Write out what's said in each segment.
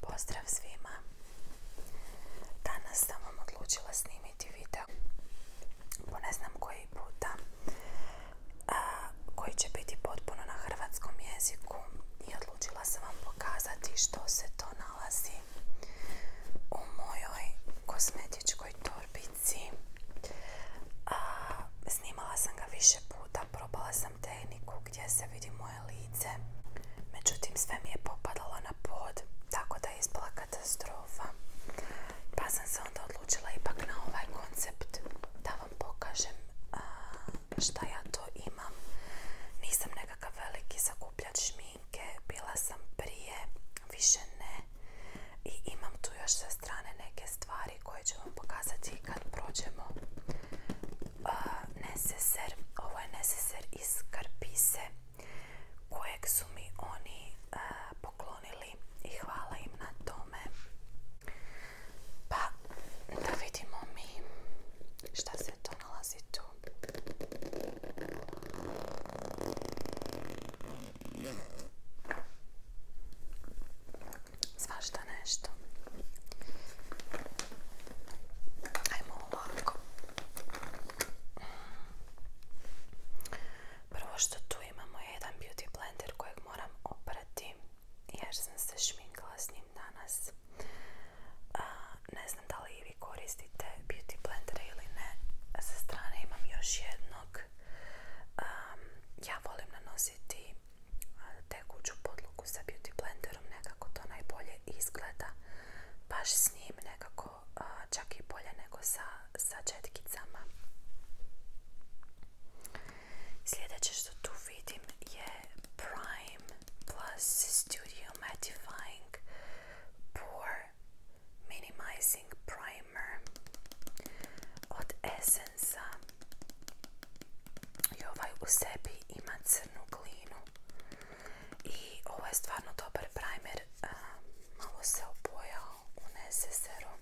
Pozdrav svima! Danas sam vam odlučila snimiti video po ne znam koji puta koji će biti potpuno na hrvatskom jeziku i odlučila sam vam pokazati što se to nalazi u mojoj kosmetičkoj torbici. A, snimala sam ga više puta, probala sam tehniku gdje se vidi moje lice, međutim sve mi je popadalo na pod, tako da je ispala katastrofa. Pa sam se onda odlučila ipak na ovaj koncept da vam pokažem šta ja to imam. Nisam nekakav veliki zakupljač šminke, bila sam prije, više ne. I imam tu još sa strane neke stvari koje ću vam pokazati kad prođemo uh, neseser, ovo je neseser iz Karpise kojeg su mi oni poklonili i hvala im na tome pa da vidimo mi šta se to nalazi tu Svašta nešto. Ajmo ovako. Prvo što tu imamo jedan beauty blender kojeg moram oprati jer sam se šminkala s njim danas. Ne znam da li i vi koristite beauty blendere ili ne. Sa strane imam još jednog. Ja volim nanositi tekuću podlogu sa beauty blenderom nekako to najbolje izgleda baš s njim nekako čak i bolje nego sa, sa četkicama sljedeće što tu vidim je Prime Plus Studio Mattifying Pore Minimizing Primer od Essence i ovaj u sebi ima crnu glinu i ovo je stvarno dobar primer malo se opojao u serum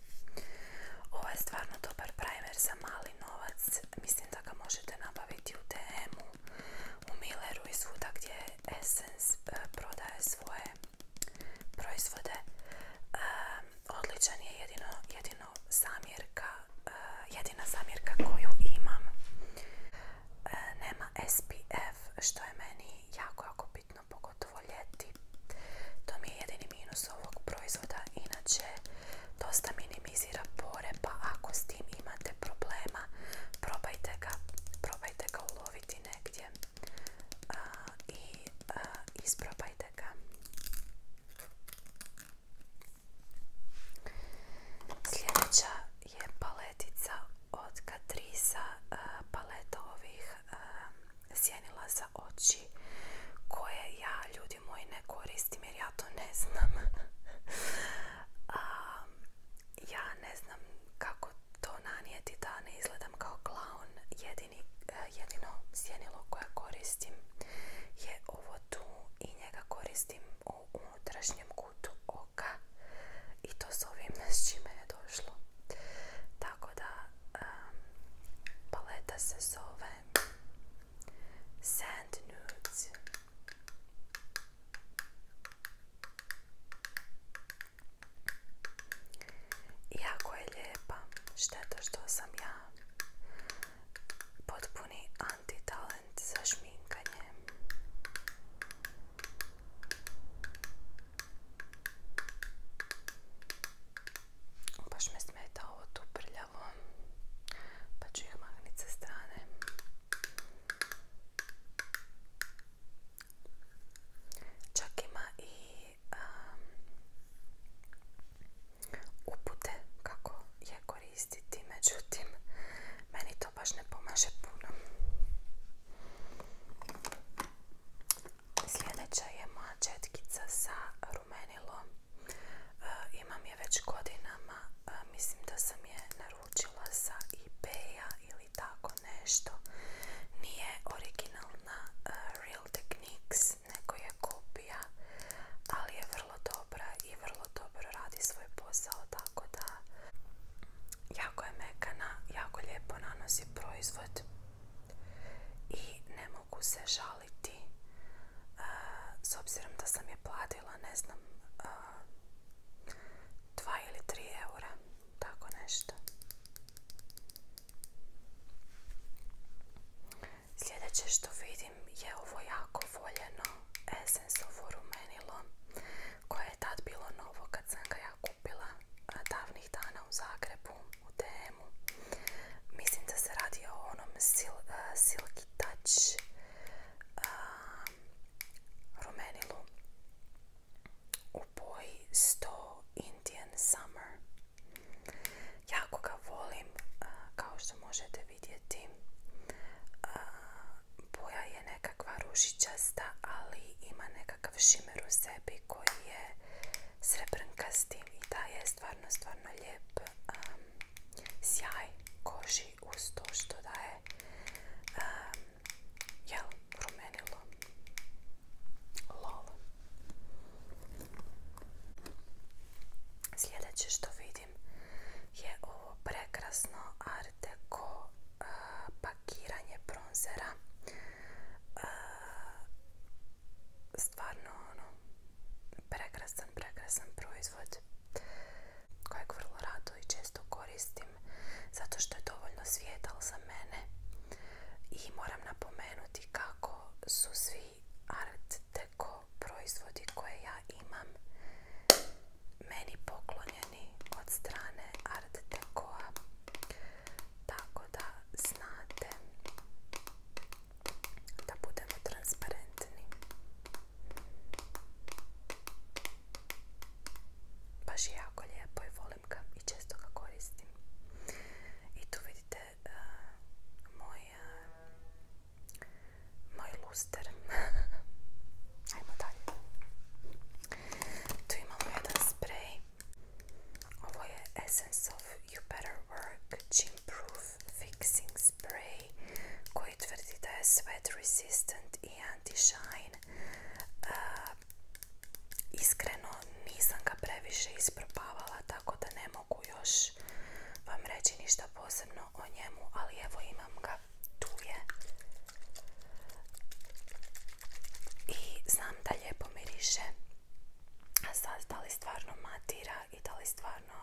ovo je stvarno dobar primer za mali novac mislim da ga možete nabaviti u temu. u u Milleru i svuda gdje Essence e, prodaje svoje proizvode e, odličan je jedino, jedino zamjerka, eh, jedina zamjerka koju imam eh, nema SPF što je meni jako jako bitno pogotovo ljeti. To mi je jedini minus ovog proizvoda, inače dosta minimizira pore pa ako s tim imate problema probajte ga, probajte ga uloviti negdje eh, i isprobajte ga. Sljedeća je paletica od Catrice, eh, paleta ovih eh, sjenila za oči koje ja ljudi moji ne koristim jer ja to ne znam. ja ne znam kako to nanijeti da ne izgledam kao klaun. Jedini E, jedino sjenilo koje koristim je ovo tu i njega koristim u unutrašnjem kutu oka i to s ovim s čime je došlo tako da paleta se zove Sand Nudes Jako je lijepa, šteta što sam ja potpuný antitalent za šminkanie. Baš me smeta ovo tu prljavo, pa ću ih magnit sa strane. Čak ima i um, upute kako je koristiti, međutim meni to baš ne pomaže puno. Sljedeća je moja četkica sa rumenilo. E, imam je već godinama, e, mislim da sam je naručila sa ebaya ili tako nešto. Nije originalna e, Real Techniques, neko je kopija, ali je vrlo dobra i vrlo dobro radi svoj posao, tako da jako je mekana, jako lijepo nanosi proizvod i ne mogu se žaliti s obzirom da sam je platila, ne znam, 2 ili 3 eura, tako nešto. Sljedeće što vidim je ovo jako voljeno Essensovo rumenilo koje je tad bilo novo kad sam ga ja kupila davnih dana u Zagrebu u temu Mislim da se radi o onom e, silki Touch rumenilu u boji 100 Indian Summer. Jako ga volim, kao što možete vidjeti. Boja je nekakva ružičasta, ali ima nekakav šimer u sebi koji je srebrnkasti i je stvarno, stvarno lijep sjaj koži uz to što daje je jel, rumenilo. Lol. Sljedeće što vidim je ovo prekrasno Arteko e, pakiranje bronzera. E, stvarno ono, prekrasan, prekrasan proizvod kojeg vrlo rado i često koristim zato što je dovoljno svijetal za mene i moram napomenuti kako su svi art deco proizvodi koje ja imam meni poklonjeni od strane art tako da znate da budemo transparentni baš je jako lijepo i volim ga i često ga koristim i tu vidite uh, moj, moj luster. Ajmo dalje. Tu imamo jedan sprej. Ovo je Essence of You Better Work Chimproof Proof Fixing Spray koji tvrdi da je sweat resistant i anti-shine. iskreno nisam ga previše isprobavala tako da ne mogu još vam reći ništa posebno o njemu, ali evo imam ga, tu je. I znam da lijepo miriše. A sad da li stvarno matira i da li stvarno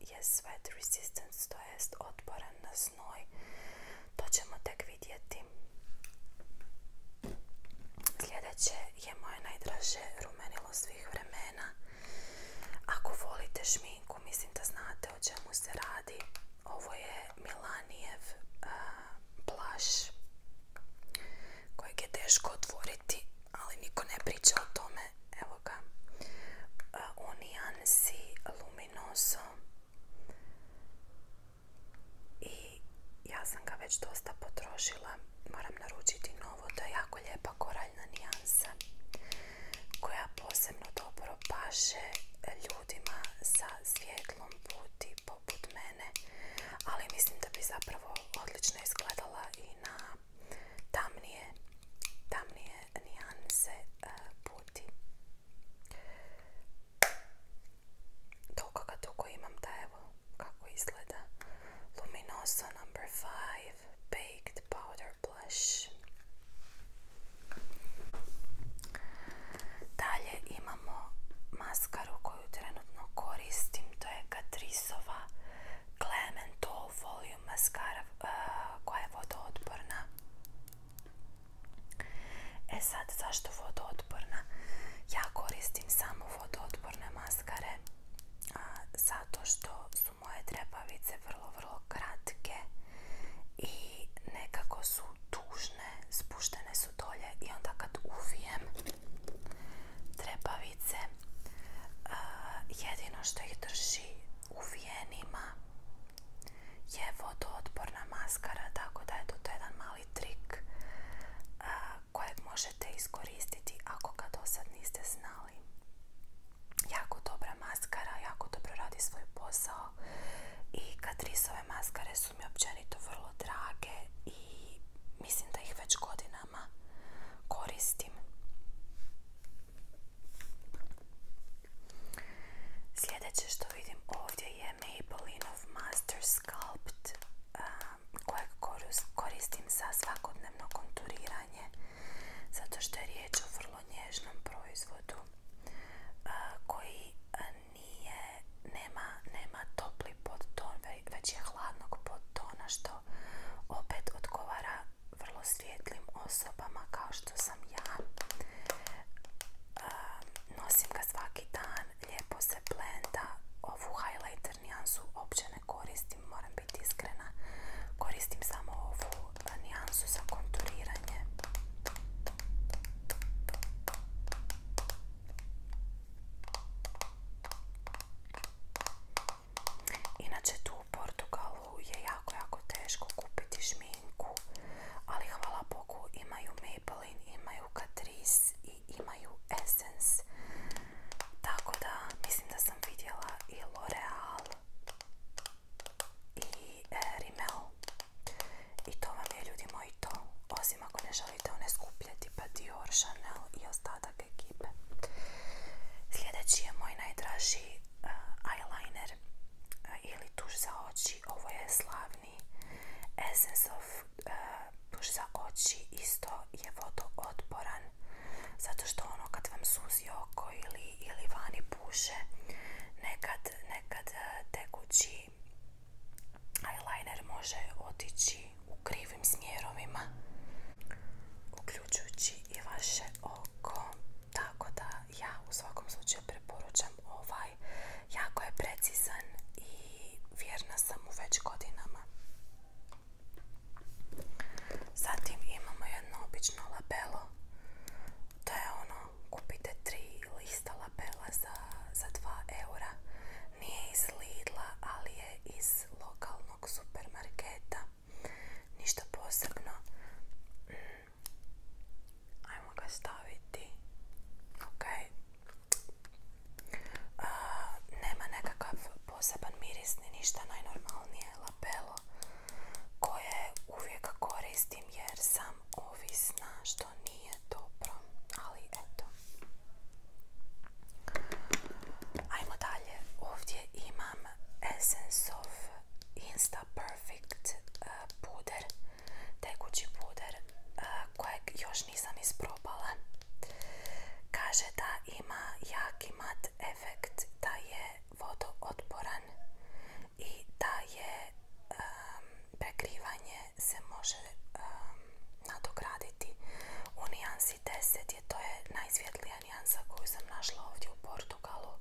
je sweat resistance, to jest otporan na snoj To ćemo tek vidjeti. Sljedeće je moje najdraže rumenilo vremena. Ako volite šminku, mislim da znate o čemu se radi. Ovo je Milanijev plaš kojeg je teško otvoriti, ali niko ne priča o tome. Evo ga. Uh, Luminoso. I ja sam ga već dosta potrošila. Moram naručiti ovo, je jako lijepa koraljna nijansa koja posebno dobro paše ljudima sa svijetlom puti poput mene, ali mislim da bi zapravo odlično izgledala i na tamnije, tamnije nijanse e, puti. Toliko ga dugo imam da evo kako izgleda Luminoso number 5 Baked Powder Blush Dalje imamo maskaru koju trenutno koristim, to je Katrisova Clementol Volume Mascara eh, koja je vodootporna. E sad, zašto vodootporna? Ja koristim samo vodootporne maskare a, zato što su moje trepavice vrlo, vrlo kratke i nekako su tužne, spuštene su dolje i onda kad uvijem trepavice jedino što ih drži uvijenima je vodootporna maskara tako da je to jedan mali trik a, kojeg možete iskoristiti ako ga do sad niste znali. Jako dobra maskara, jako dobro radi svoj posao i ove maskare su mi općenito vrlo drage i mislim da ih već godinama koristim. Sljedeće što vidim ovdje je Maybelline Master Sculpt kojeg koristim za svakodnevno konturiranje zato što je riječ o vrlo nježnom proizvodu koji nije, nema, nema topli podton, već je hladnog podtona što opet odgovara vrlo svijetlim osobama kao što sam ja. Nosim ga svaki dan, lijepo se blenda, ovu highlight nijansu uopće ne koristim, moram biti iskrena. Koristim samo ovu e, nijansu za konturiranje. Inače tu u Portugalu je jako, jako teško kupiti šminku, ali hvala Bogu imaju Maybelline, imaju Catrice imaju Essence. Tako da mislim da sam vidjela i L'Oreal i e, Rimmel. I to vam je ljudi moji to. Osim ako ne želite one skupljati Pa Dior, Chanel i ostatak ekipe. Sljedeći je moj najdraži e, eyeliner e, ili tuš za oči. Ovo je slavni Essence of tuš za oči isto je vodootporan zato što ono kad vam suzi oko ili, ili vani puše nekad, nekad e, tekući eyeliner može otići u krivim smjerovima uključujući i vaše oko tako da ja u svakom slučaju preporučam ovaj jako je precizan i vjerna sam u već godinama Zatim imamo jedno obično labelo. To je ono, kupite tri lista lapela za, dva 2 eura. Nije iz Lidla, ali je iz lokalnog supermarketa. Ništa posebno. Mm. Ajmo ga staviti. Ok, nema nekakav poseban miris ni ništa najnormalnije lapelo koje uvijek koristim jer sam ovisna što nije dobro ali eto ajmo dalje ovdje imam Essence of Insta Perfect e, puder tekući puder e, kojeg još još nisam isprobala. Kaže da ima jaki mat efekt, da je vodootporan i da je prekrivanje se može nadograditi. U nijansi 10 je to je najsvjetlija nijansa koju sam našla ovdje u Portugalu. E,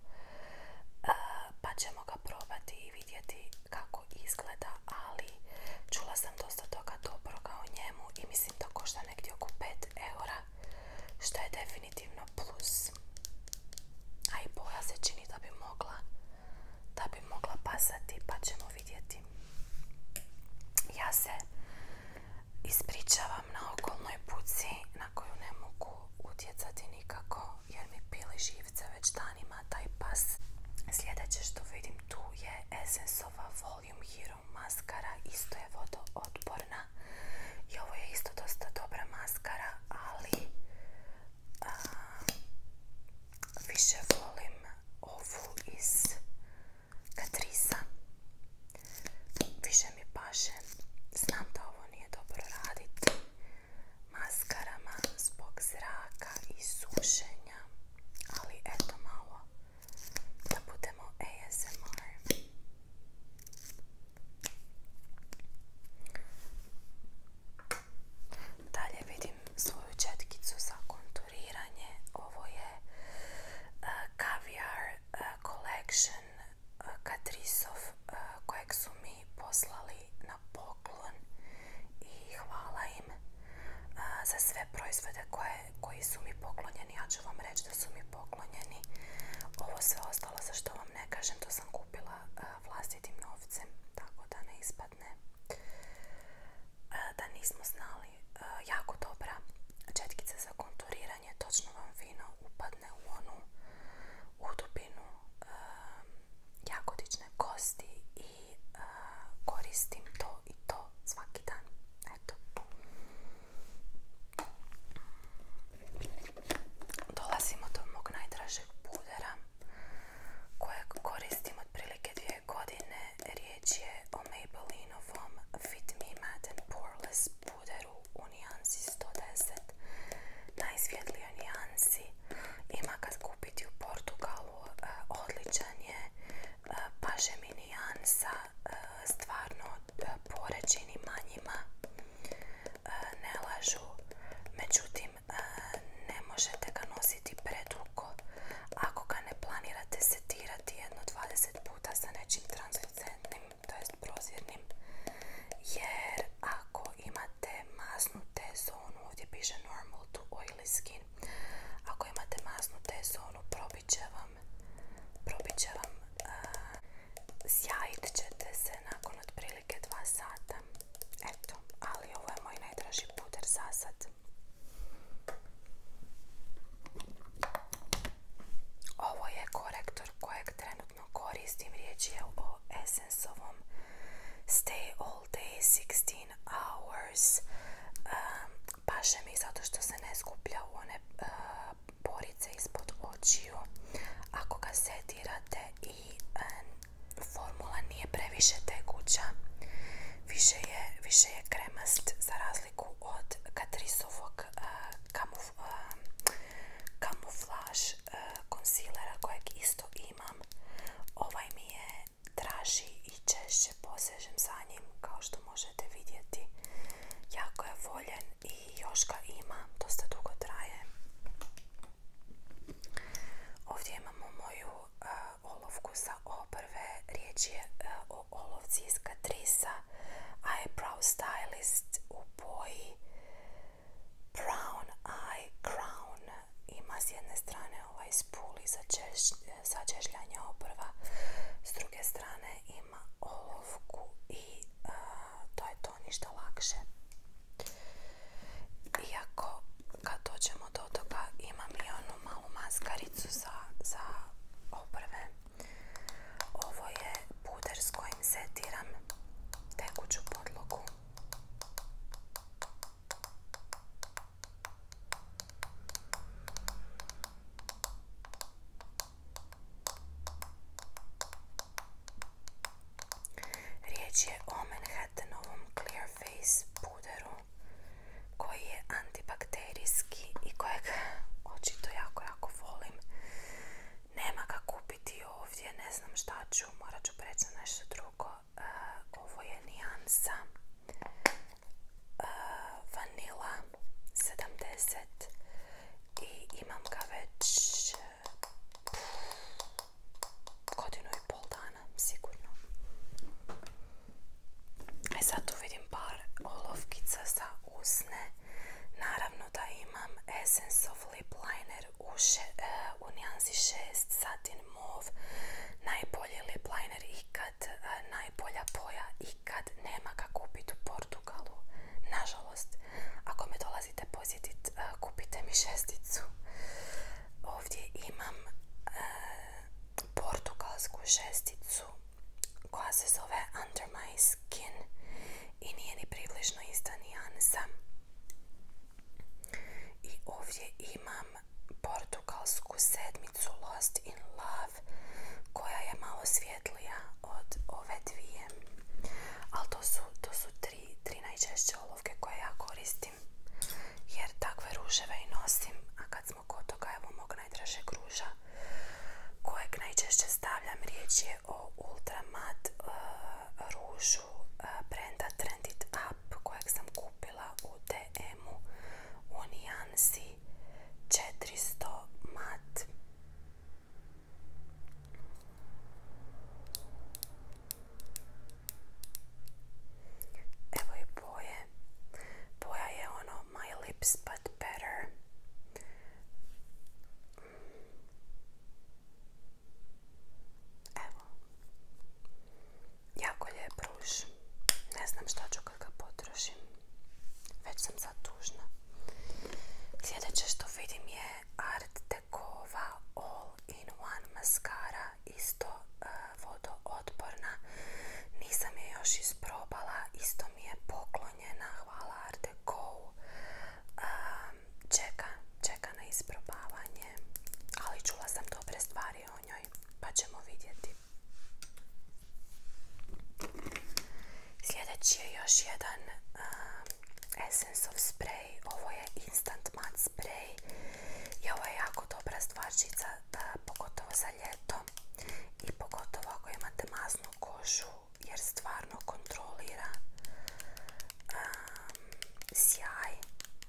pa ćemo ga probati i vidjeti kako izgleda, ali čula sam to toga dobroga o njemu i mislim da košta negdje oko 5 eura, što je definitivno plus. A i boja se čini da bi mogla, bi mogla pasati, pa ćemo vidjeti. Ja se ispričavam na okolnoj puci na koju ne mogu utjecati nikako jer mi pili živce već danima taj pas. Sljedeće što vidim tu je Essenceova Volume maskara, isto je vodootporna i ovo je isto dosta dobra maskara, ali više volim ovu iz Katrisa, više mi paše, znam da ovo nije dobro raditi maskarama zbog zraka i sušenja, ali eto malo da budemo ASMR. Dalje vidim svoju četkicu za konturiranje. Ovo je e, Caviar e, Collection e, Katrisov kojeg su mi poslali na poklon i hvala im za sve proizvode koje, koji su mi poklonjeni. Ja ću vam reći da su mi poklonjeni. Ovo sve ostalo za što vam ne kažem, to sam kupila vlastitim novcem, tako da ne ispadne. Da nismo znali, jako dobra četkica za konturiranje, točno vam fino upadne u onu Udubinu Jakotične kosti i koristim to i to svaki dan. Eto. Dolazimo do mog najdražeg pudera kojeg koristim otprilike dvije godine. Riječ je o Maybelline Fit Me Matte and Poreless puderu u nijansi 110. Najsvjetlijoj nijansi. Ima kad kupiti u Portugalu. E, odličan je. E, nijansa e, stvarno e, poređeni manjima e, ne lažu međutim ne možete ga nositi predugo ako ga ne planirate setirati jedno 20 puta sa nečim translucentnim to jest prozirnim jer ako imate t zonu ovdje piše normal to oily skin ako imate masnu tezonu, probit će vam, probit ćete se nakon otprilike 2 sata. Eto, ali ovo je moj najdraži puder za sad. Ovo je korektor kojeg trenutno koristim, riječ je o essence Stay All Day 16 Hours Paše mi zato što se ne skuplja u one e, porice ispod očiju. Ako ga setirate i e, formula nije previše tekuća, više je, više kremast za razliku od katrisovog e, uh, kamuflaž kojeg isto imam. Ovaj mi je traži i češće posežem za njim kao što možete vidjeti jako je voljen i još ga ima, dosta dugo traje ovdje imamo moju e, olovku sa obrve riječ je e, o olovci iz Catrice eyebrow stylist u boji brown eye crown ima s jedne strane ovaj spuli za, češljanja s druge strane ima olovku i to je to ništa lakše. Iako kad dođemo do toga imam i onu malu maskaricu za, za Ovo je puder s kojim setiram tekuću podlogu. Riječ je o Manhattanovom Clear Face puderu koji je antibakterijski i kojeg očito jako, jako volim. Nema ga kupiti ovdje, ne znam šta ću, morat ću preći nešto drugo. E, ovo je nijansa Eh, vanila 70 i imam ga već eh, godinu i pol dana sigurno e sad tu vidim par olovkica za usne naravno da imam Essence of Lip Liner u, še, 6 eh, satin mauve najbolji lip liner E, najbolja poja i kad nema kako kupiti u Portugalu. Nažalost, ako me dolazite posjetiti, e, kupite mi šesticu. Ovdje imam e, portugalsku šesticu koja se zove Under My Skin i nije ni približno ista nijansa. I ovdje imam portugalsku sedmicu Lost in Love koja je malo svjetlija od ove dvije ali to su, tri, najčešće olovke koje ja koristim jer takve ruževe i nosim a kad smo kod toga evo mog najdražeg ruža kojeg najčešće stavljam riječ je o ultramat rušu eh, ružu eh, brenda trendit Up kojeg sam kupila u DM-u u nijansi 400 mat. Evo i boje. Boja je ono My Lips But Better. Evo. Jako lijep ruž. Ne znam šta ću kad ga potrošim. Već sam zatužna Sljedeće što vidim je Art Dekova All in One maskara. Isto vodo e, vodootporna. Nisam je još isprobala. Isto mi je poklonjena. Hvala Art e, čeka, čeka na isprobavanje. Ali čula sam dobre stvari o njoj. Pa ćemo vidjeti. Sljedeći je još jedan eh, Essence of Spray. Ovo je Instant mat Spray. I ovo je jako dobra stvarčica, pogotovo za ljeto. I pogotovo ako imate masnu kožu, jer stvarno kontrolira eh, sjaj.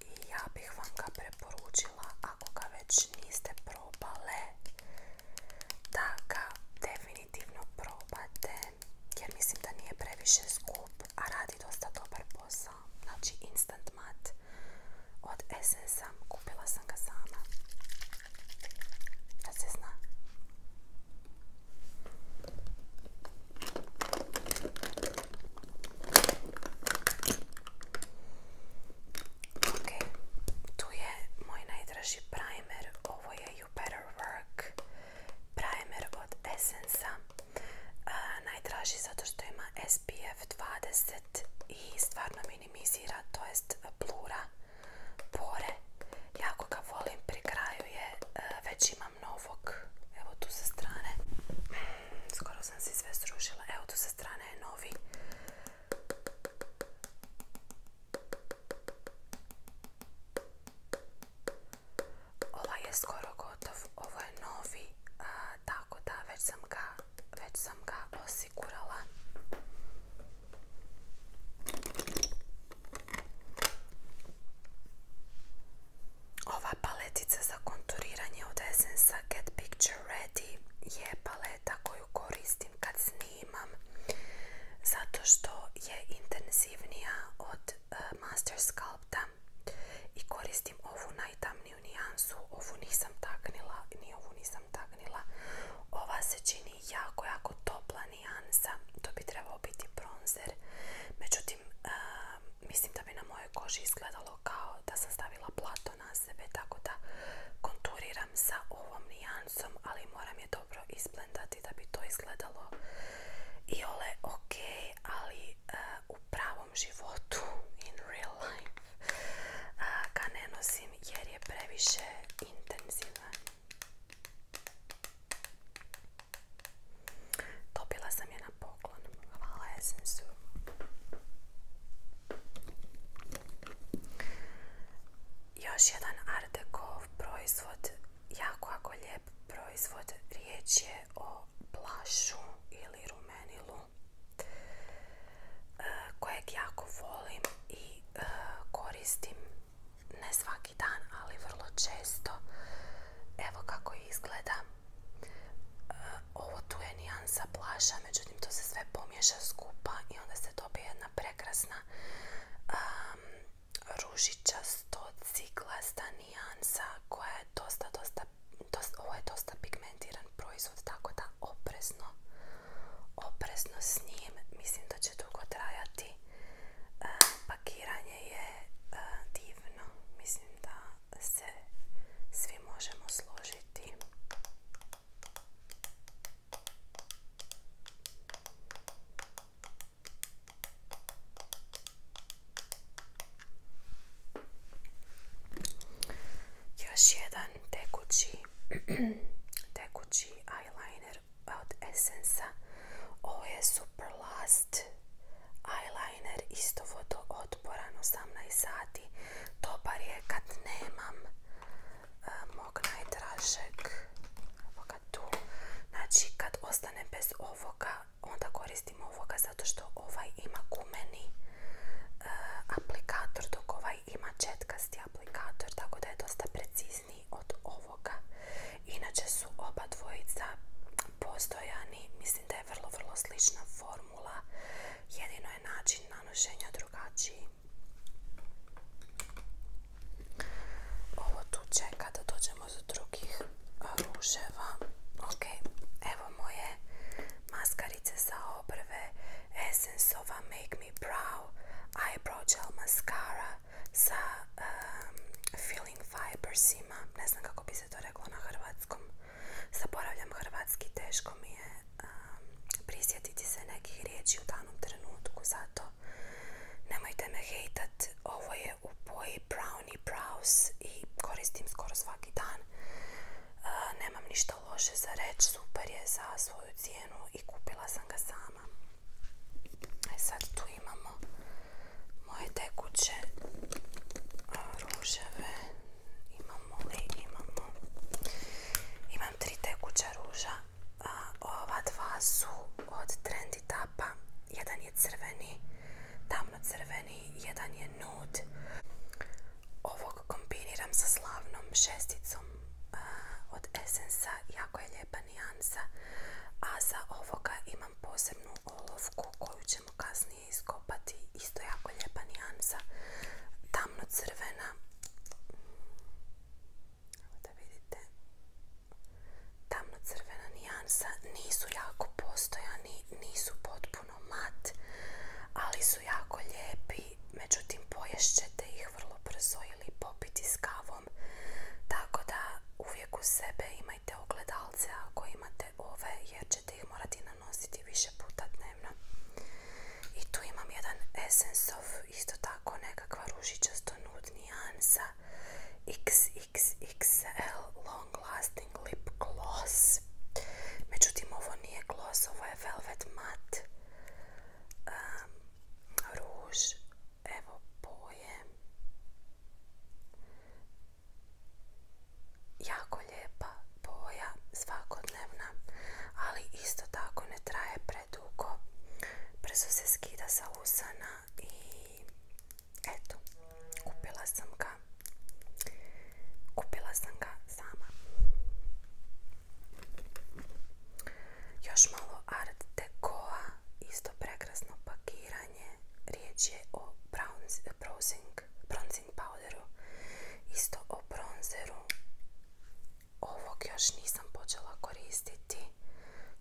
I ja bih vam ga preporučila ako ga već niste da ga definitivno probate jer mislim da nije previše skup a radi dosta dobar posao znači instant mat od Essence kupila sam ga sama da se zna Ok, tu je moj najdraži primer, ovo je You Better Work primer od Essence najdraži zato što ima SPF 20 i stvarno minimizira, to jest blura pore. Jako ga volim, pri kraju je, e, već imam novog, evo tu sa strane, skoro sam se sve srušila, evo tu sa strane je novi Ovaj je skoro gotov, ovo je novi, tako da već sam ga, osigurala. Ova paletica za konturiranje od Essensa Get Picture Ready je paleta koju koristim kad snimam zato što je intenzivnija od e, Master Sculpta i koristim ovu najtamniju nijansu, ovu nisam taknila, ni ovu nisam taknila. Ova se čini jako, jako topla nijansa, to bi trebalo biti bronzer. Međutim, e, mislim da bi na mojoj koži izgledalo kao da sam stavila plato na sebe, tako da konturiram sa ovom nijansom, ali moram je dobro isplendati da bi to izgledalo i ole ok, ali e, u pravom životu, in real life, e, ga ne nosim jer je previše intenzivan. Dobila sam je na poklon. Hvala esensu još jedan Artekov proizvod, jako jako lijep proizvod, riječ je o plašu ili rumenilu e, kojeg jako volim i e, koristim ne svaki dan, ali vrlo često. Evo kako izgleda ovo tu je nijansa plaša, međutim to se sve pomješa skupa i onda se dobije jedna prekrasna ružičasto ciglasta nijansa koja je dosta, dosta, ovo je dosta pigmentiran proizvod, tako da oprezno, oprezno s njim, mislim da će dugo trajati. E, pakiranje je e, divno, mislim da se svi možemo složiti još jedan tekući, eyeliner od essence O Ovo je Super Last eyeliner, isto vodootporan, 18 sati. Dobar je kad nemam e, mog najdražeg ovoga tu. Znači kad ostane bez ovoga, onda koristim ovoga zato što ovaj ima gumeni e, aplikator dok ovaj ima četkasti aplikator tako da je dosta precizniji od ovoga. Inače su oba dvojica postojani, mislim da je vrlo, vrlo slična formula jedino je način nanošenja drugačiji. Ovo tu čeka da dođemo do drugih Ok, evo moje maskarice sa obrve Essenceova Make Me Brow Eyebrow Gel Mascara sa um, feeling Filling Ne znam kako bi se to reklo na hrvatskom. Zaporavljam hrvatski, teško mi je prisjetiti se nekih riječi u danom trenutku, zato nemojte me hejtat, ovo je u boji Brownie i koristim skoro svaki dan. E, nemam ništa loše za reći, super je za svoju cijenu i kupila sam ga sama. E sad tu imamo moje tekuće ruževe imamo li, imamo imam tri tekuća ruža ova dva su od Trendy Tapa jedan je crveni tamno crveni, jedan je nude ovog kombiniram sa slavnom šesticom od Essence jako je lijepa nijansa a za ovoga imam posebnu olovku koju ćemo kasnije iskopati isto jako lijepa nijansa tamno crvena evo da vidite tamno crvena nijansa nisu jako postojani nisu potpuno mat ali su jako lijepi međutim poješćete ih vrlo brzo ili popiti s kavom tako da uvijek u sebe imajte ogledalce ako imate ove jer ih morati nanositi više puta dnevno. I tu imam jedan Essence of, isto tako nekakva ružičasto nijansa XXXL Long Lasting Lip Gloss. Međutim, ovo nije gloss, ovo je Velvet mat ruž. Evo boje jako lijepa boja svakodnevna, ali isto tako ne traje predugo. Brzo se skida sa usana i eto, kupila sam ga. Kupila sam ga sama. Još malo Art Decoa, isto prekrasno pakiranje. Riječ je o bronzing blazing isto o bronzeru. Ovog još nisam počela koristiti,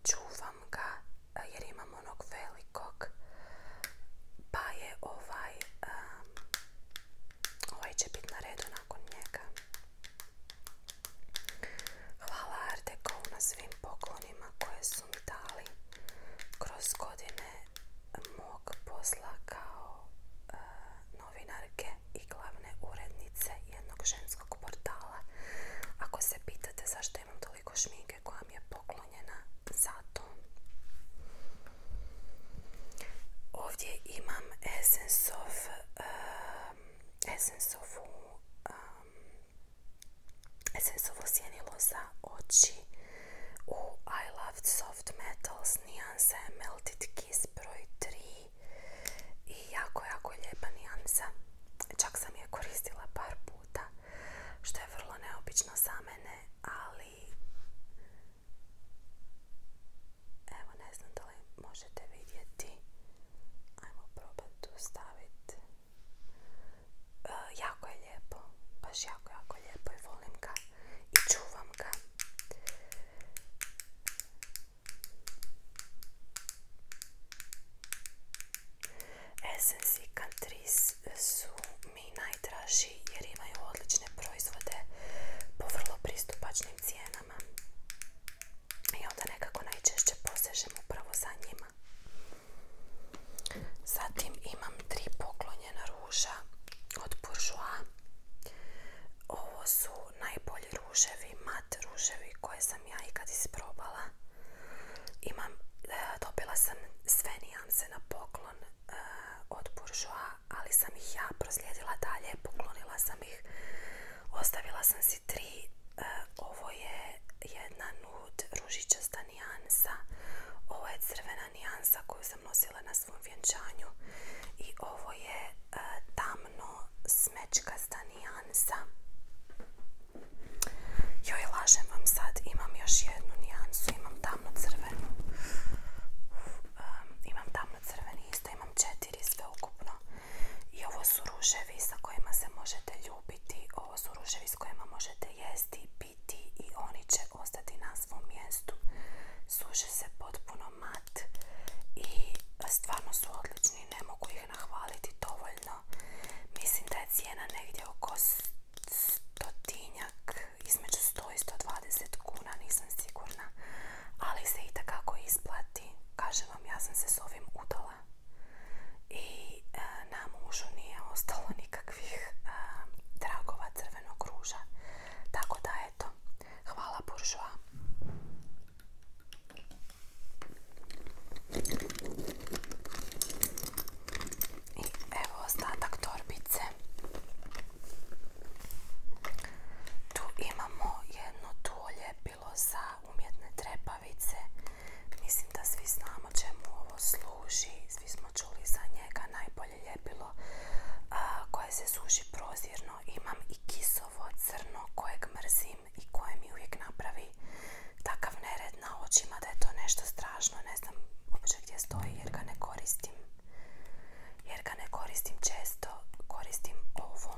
čuvam ga e, jer imam onog velikog, pa je ovaj, ovaj će biti na redu nakon njega. Hvala na svim poklonima koje su mi dali kroz godine mog posla kao e, novinarke i glavne urednice jednog ženskog portala. Ako se pitate zašto imam toliko šminke koja mi je poklonjena, zato. Ovdje imam Essence e, of, e, za oči u I Loved Soft Metals nijansa je Melted Kiss broj 3 i jako, jako lijepa nijansa. Čak sam je koristila par puta, što je vrlo neobično za mene, ali evo ne znam da li možete vidjeti. Ajmo probati tu staviti. E, jako je lijepo, baš jako, jako lijepo i volim ga i čuvam ga. i su mi najdraži jer imaju odlične proizvode po vrlo pristupačnim cijenama. I onda nekako najčešće posežem upravo za njima. Zatim imam tri poklonja njena ruža od Bourjois. Ovo su najbolji ruževi, mat ruževi koje sam ja ikad isprobala. Imam, e, dobila sam sve nijanse na poklon e, od Bourjois, ali sam ih ja proslijedila dalje, poklonila sam ih. Ostavila sam si tri, e, ovo je jedna nude ružičasta nijansa. Ovo je crvena nijansa koju sam nosila na svom vjenčanju i ovo je e, tamno tamno smečkasta nijansa. Joj, lažem vam sad, imam još jednu nijansu, imam tamno crvenu. imam tamno crveni, isto imam četiri sve ukupno. I ovo su ruževi sa kojima se možete ljubiti, ovo su ruževi s kojima možete jesti, piti i oni će ostati na svom mjestu. Suže se potpuno mat i stvarno su odlični, ne mogu ih nahvaliti dovoljno. Mislim da je cijena negdje oko stotinjak, između 100 i 120 kuna, nisam sigurna, ali se i isplati. Kažem vam, ja sam se s ovim udala i e, na mužu nije ostalo nikakvih e, dragova tragova crvenog ruža, tako da eto, hvala buržoa. I evo ostatak torbice. Tu imamo jedno tu bilo za umjetne trepavice. Mislim da svi znamo čemu ovo služi. Svi smo čuli za njega najbolje olje koje se suši prozirno. Imam i kisovo crno kojeg mrzim i koje mi uvijek napravi takav nered na očima da je to nešto strašno. Ne znam uopće gdje stoji jer ga ne koristim. Jer ga ne koristim često. Koristim ovo.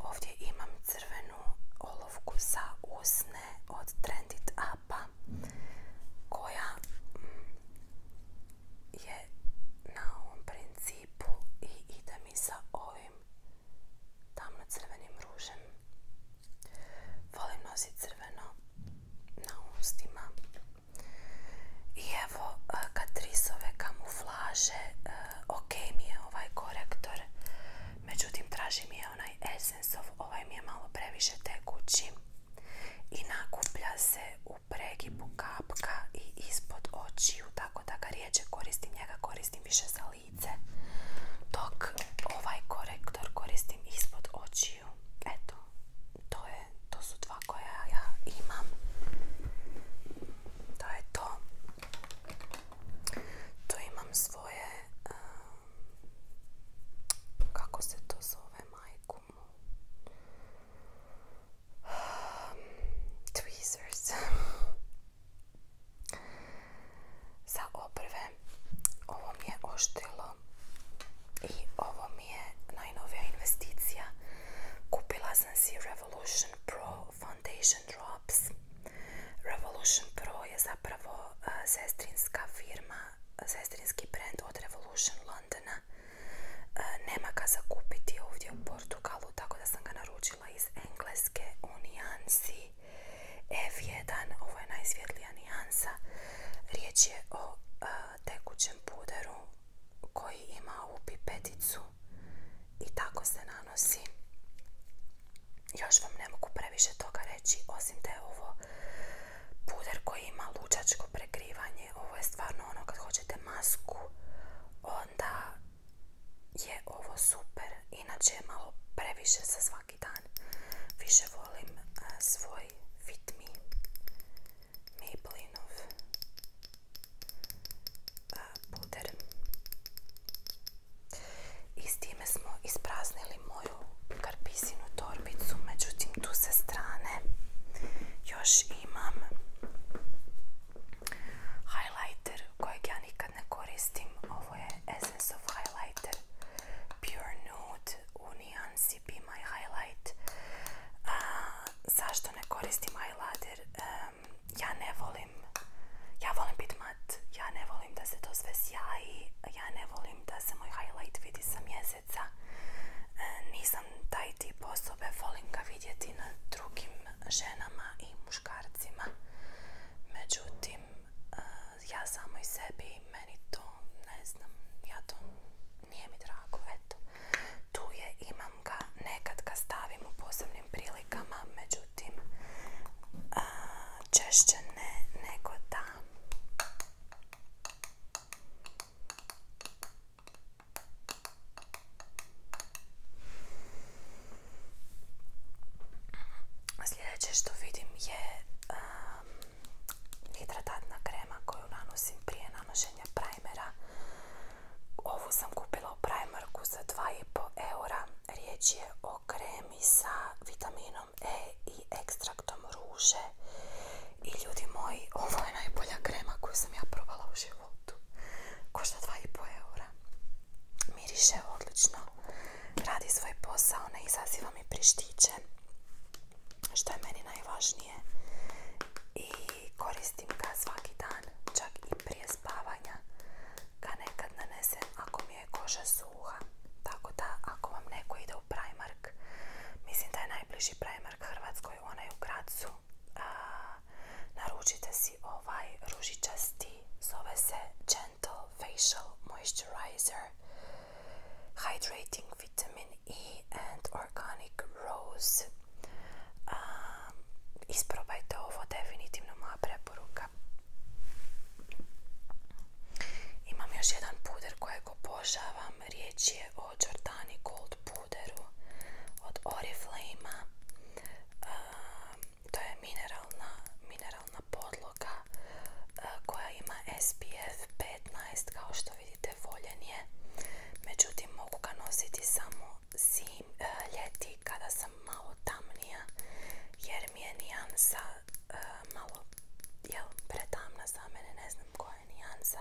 Ovdje imam crvenu olovku za usne od Trendit Apa koja je na ovom principu i ide mi sa ovim tamno crvenim ružem. Volim nositi crveno na ustima. I evo Katrisove e, kamuflaže, e, ok mi je ovaj korektor, međutim traži mi je onaj Essenceov, ovaj mi je malo previše tekući i nakuplja se u u pregibu kapka i ispod očiju tako da ga riječi koristim, njega koristim više za lice dok ovaj korektor koristim ispod očiju eto, to, je, to su dva koja ja imam to je to To imam svoje kako se to zove majku tweezers za oprve ovo mi je oštilo i ovo mi je najnovija investicija kupila sam si Revolution Pro Foundation Drops Revolution Pro je zapravo eh, sestrinska firma sestrinski brand od Revolution Londona E, nema ga za kupiti ovdje u Portugalu, tako da sam ga naručila iz engleske u nijansi F1. Ovo je najsvjetlija nijansa. Riječ je o e, tekućem puderu koji ima u pipeticu i tako se nanosi. Još vam ne mogu previše toga reći, osim da je ovo puder koji ima lučačko prekrivanje ovo je stvarno ono kad hoćete masku onda je ovo super inače je malo previše za svaki dan više volim svoj Fit Me puder i s time smo ispraznili moju karpisinu torbicu, međutim tu sa strane još imam highlighter kojeg ja nikad ne koristim. Ovo je Essence of Highlighter Pure Nude u Be My Highlight. zašto ne koristim highlighter? ja ne volim, ja volim biti mat, ja ne volim da se to sve sjaji, ja ne volim da se moj highlight vidi sa E, nisam taj tip osobe, volim ga vidjeti na drugim ženama i muškarcima. Međutim, e, ja samo i sebi, meni to, ne znam, ja to nije mi drago, eto. Tu je, imam ga, nekad ga stavim u posebnim prilikama, međutim, e, češće ne nego da. Sljedeće što vidim je um, hidratatna krema koju nanosim prije nanošenja primera. Ovu sam kupila u za 2,5 eura. Riječ je o kremi sa vitaminom E i ekstra to ruže i ljudi moji, ovo je najbolja krema koju sam ja probala u životu. Košta 2,5 eura. Miriše odlično. Radi svoj posao, ne izaziva mi prištiće. Što je meni najvažnije. I koristim ga svaki dan, čak i prije spavanja. Ga nekad nanesem ako mi je koža suha. Tako da ako vam neko ide u Primark, mislim da je najbliži Primark Mark Hrvatskoj, onaj u Gracu. naručite si ovaj ružičasti, zove se Gentle Facial Moisturizer Hydrating Vitamin E and Organic Rose. isprobajte ovo, definitivno moja preporuka. Imam još jedan puder kojeg opožavam riječ je o Jordani Gold puderu od oriflame to je mineralna, mineralna podloga koja ima SPF 15, kao što vidite voljen Međutim, mogu ga nositi samo ljeti kada sam malo tamnija jer mi je nijansa malo pretamna za mene, ne znam koja je nijansa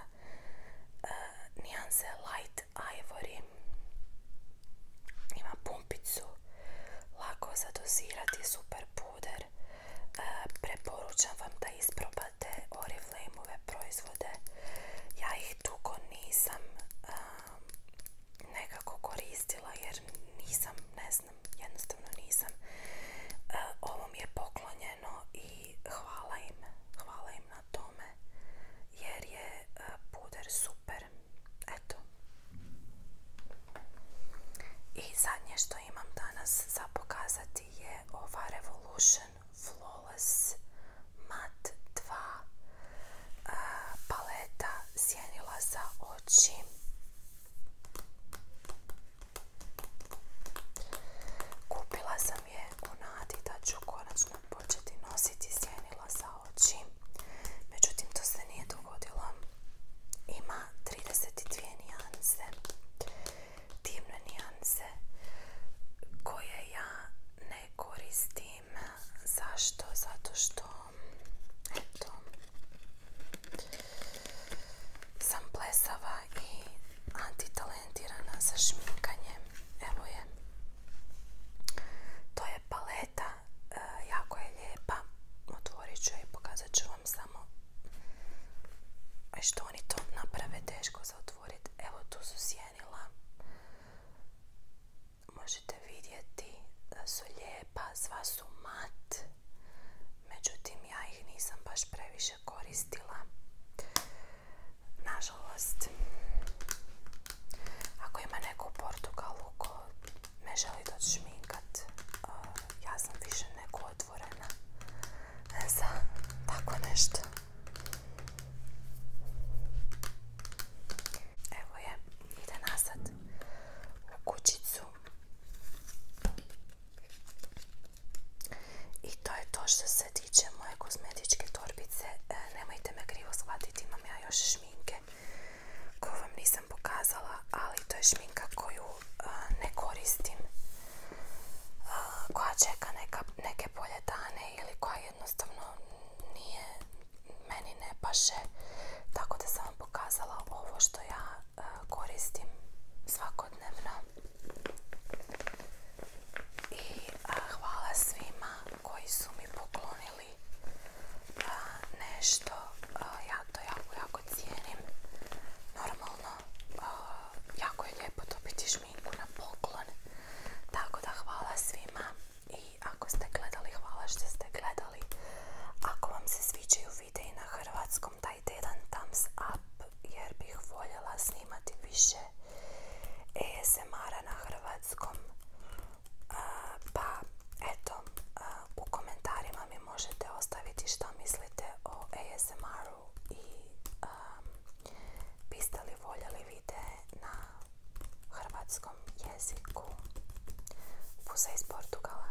uh, nijanse Light Ivory. Ima pumpicu, lako dozirati super puder. Eh, preporučam vam da isprobate oriflame proizvode. Ja ih tuko nisam ehm, nekako koristila jer nisam, ne znam, jednostavno nisam. Eh, ovo mi je poklonje no i hvala im, na tome jer je e, puder super. Eto. I zadnje što imam danas za pokazati je ova Revolution Flawless Matte 2 e, paleta sjenila za oči. Kupila sam je u nadi da ću konačno početi nositi sjenila za oči. Međutim, to se nije dogodilo. Ima 32 nijanse. Divne nijanse koje ja ne koristim. Zašto? Zato što sam plesava i antitalentirana sa šminkanjem. Evo je. To je paleta, e, jako je lijepa. Otvorit ću je i pokazat ću vam samo e, što oni to naprave teško za otvoriti. Evo tu su sjenila. Možete vidjeti da su lijepa, zva su mat. Međutim, ja ih nisam baš previše koristila. Nažalost, ako ima neko u Portugalu ko ne želi doći šminkat, e, ja sam više neko otvorena za tako nešto. Evo je, ide nasad u kućicu. I to je to što se tiče moje kozmetičke torbice. E, nemojte me krivo shvatiti, imam ja još šminke koju vam nisam pokazala, ali to je šminka koju e, ne koristim, e, koja čeka neke bolje dane ili koja jednostavno nije, meni ne paše. Tako da sam vam pokazala ovo što ja E, koristim svakodnevno i hvala svima koji su mi poklonili nešto ja to jako jako cijenim normalno jako je lijepo dobiti šminku na poklon tako da hvala svima i ako ste gledali hvala što ste gledali ako vam se sviđaju videi na hrvatskom Tjedan thumbs up jer bih voljela snimati više asmr na hrvatskom pa eto u komentarima mi možete ostaviti što mislite o ASMR-u i biste li voljeli vide na hrvatskom jeziku Pusa iz Portugala